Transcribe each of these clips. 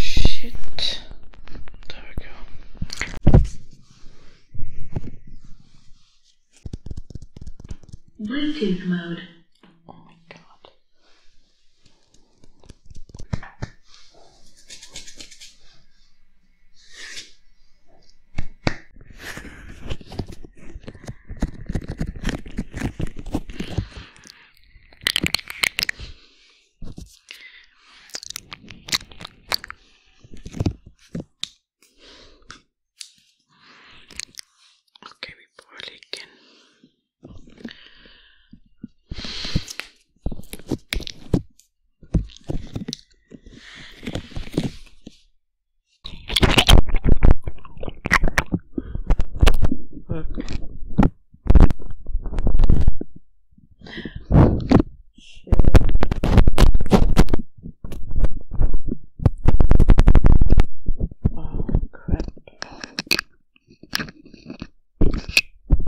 Shit. There we go. Bluetooth mode. Oh my god. Okay, we probably can Oh crap.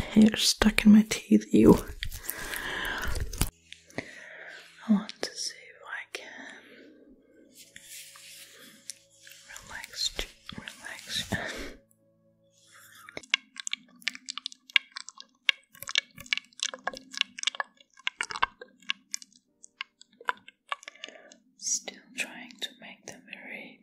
hair stuck in my teeth, you. I want to see if I can relax, Still trying to make them very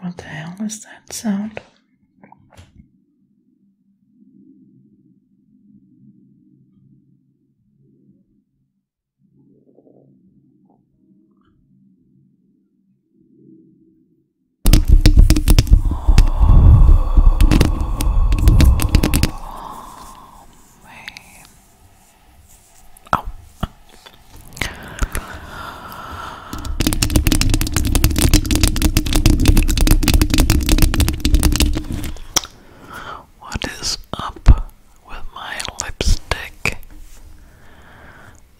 What the hell is that sound? Oh. What is up with my lipstick?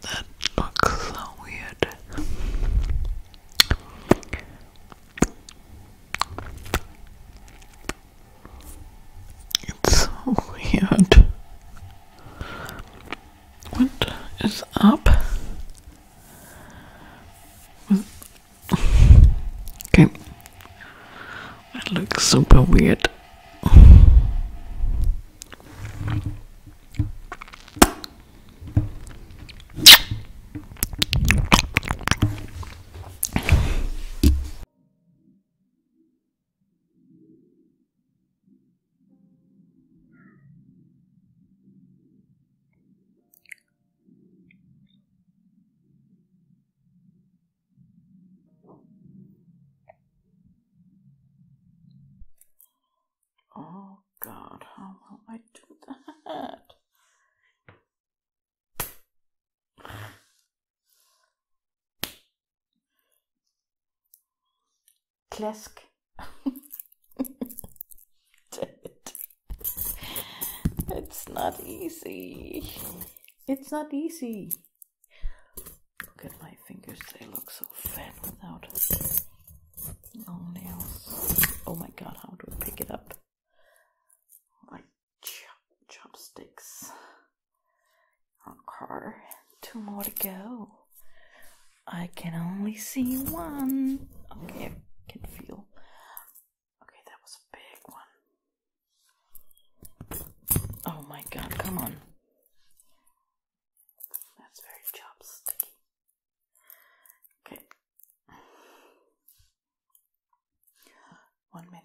That looks so weird. It's so weird. What is up? Okay. That looks super weird. Oh God, how will I do that? Klask. it's not easy. It's not easy. Look at my fingers, they look so fat without long nails. Oh my god, how do I pick it up? chopsticks car. Two more to go. I can only see one. Okay, I can feel. Okay, that was a big one. Oh my god, come on. That's very chopsticky. Okay. One minute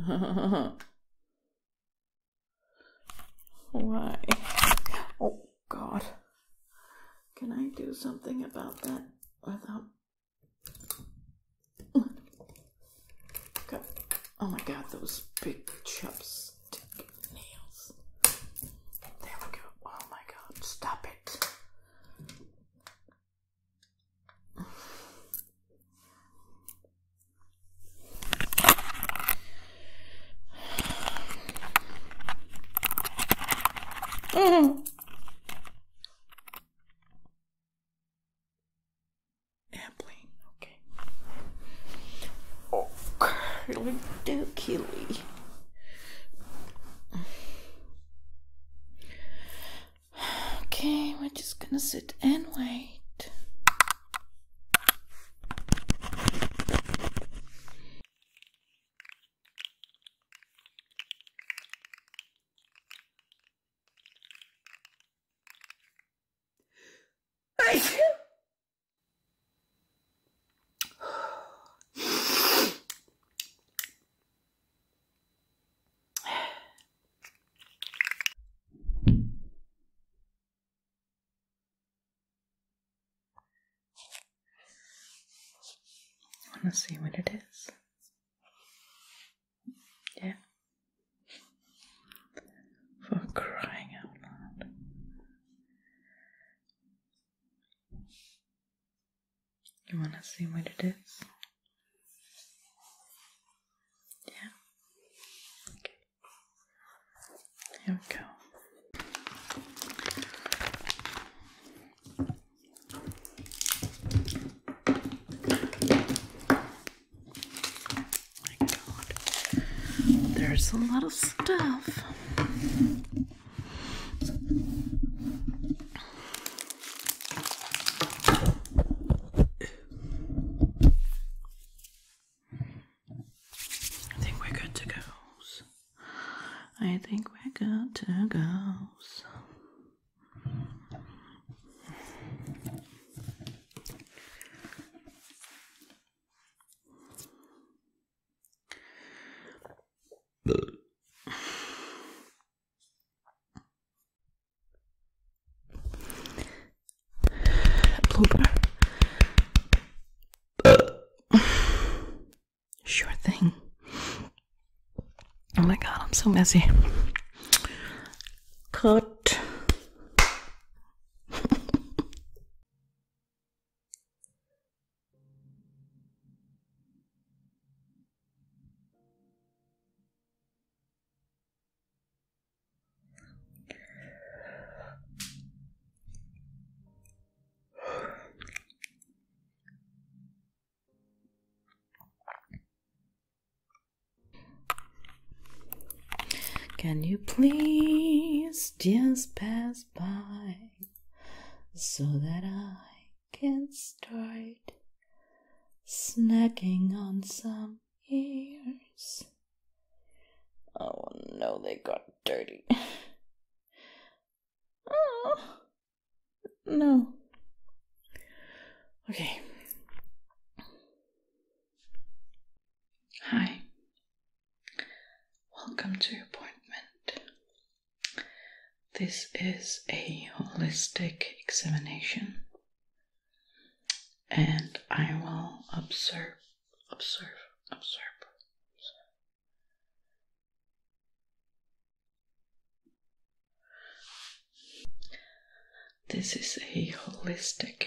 Why? Oh, God. Can I do something about that without. Oh my god, those big chops nails. There we go. Oh my god, stop it. Mm. Airplane, Oh, Curly Okay, we're just gonna sit and wait. I want to see what it is. Yeah. For crying out loud. You want to see what it is? Yeah. Here we go my god. There's a lot of stuff. I think we're good to go. I think we're good to go. Blooper. Sure thing. Oh my god, I'm so messy. Cut. Can you please just pass so that I can start snacking on some ears. Oh no, they got dirty. oh no. Okay. Hi, Welcome to your appointment. This is a holistic examination, and I will observe, observe, observe. This is a holistic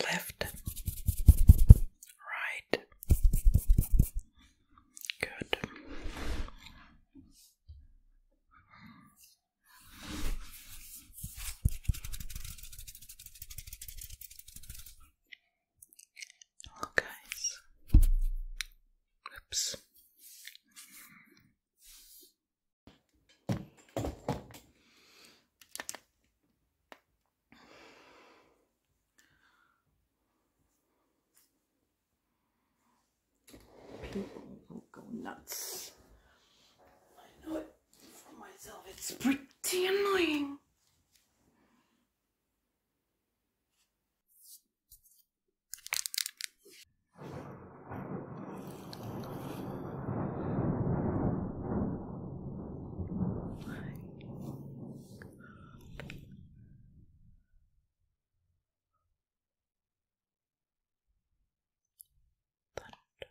Left, right, good. Oh, Oops. People will go nuts. I know it for myself, it's pretty annoying. Thunder.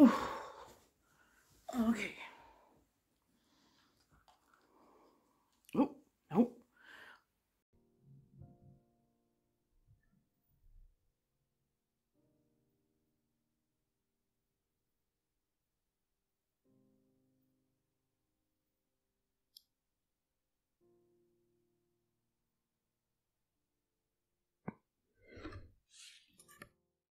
Ooh. Okay. Oh, no.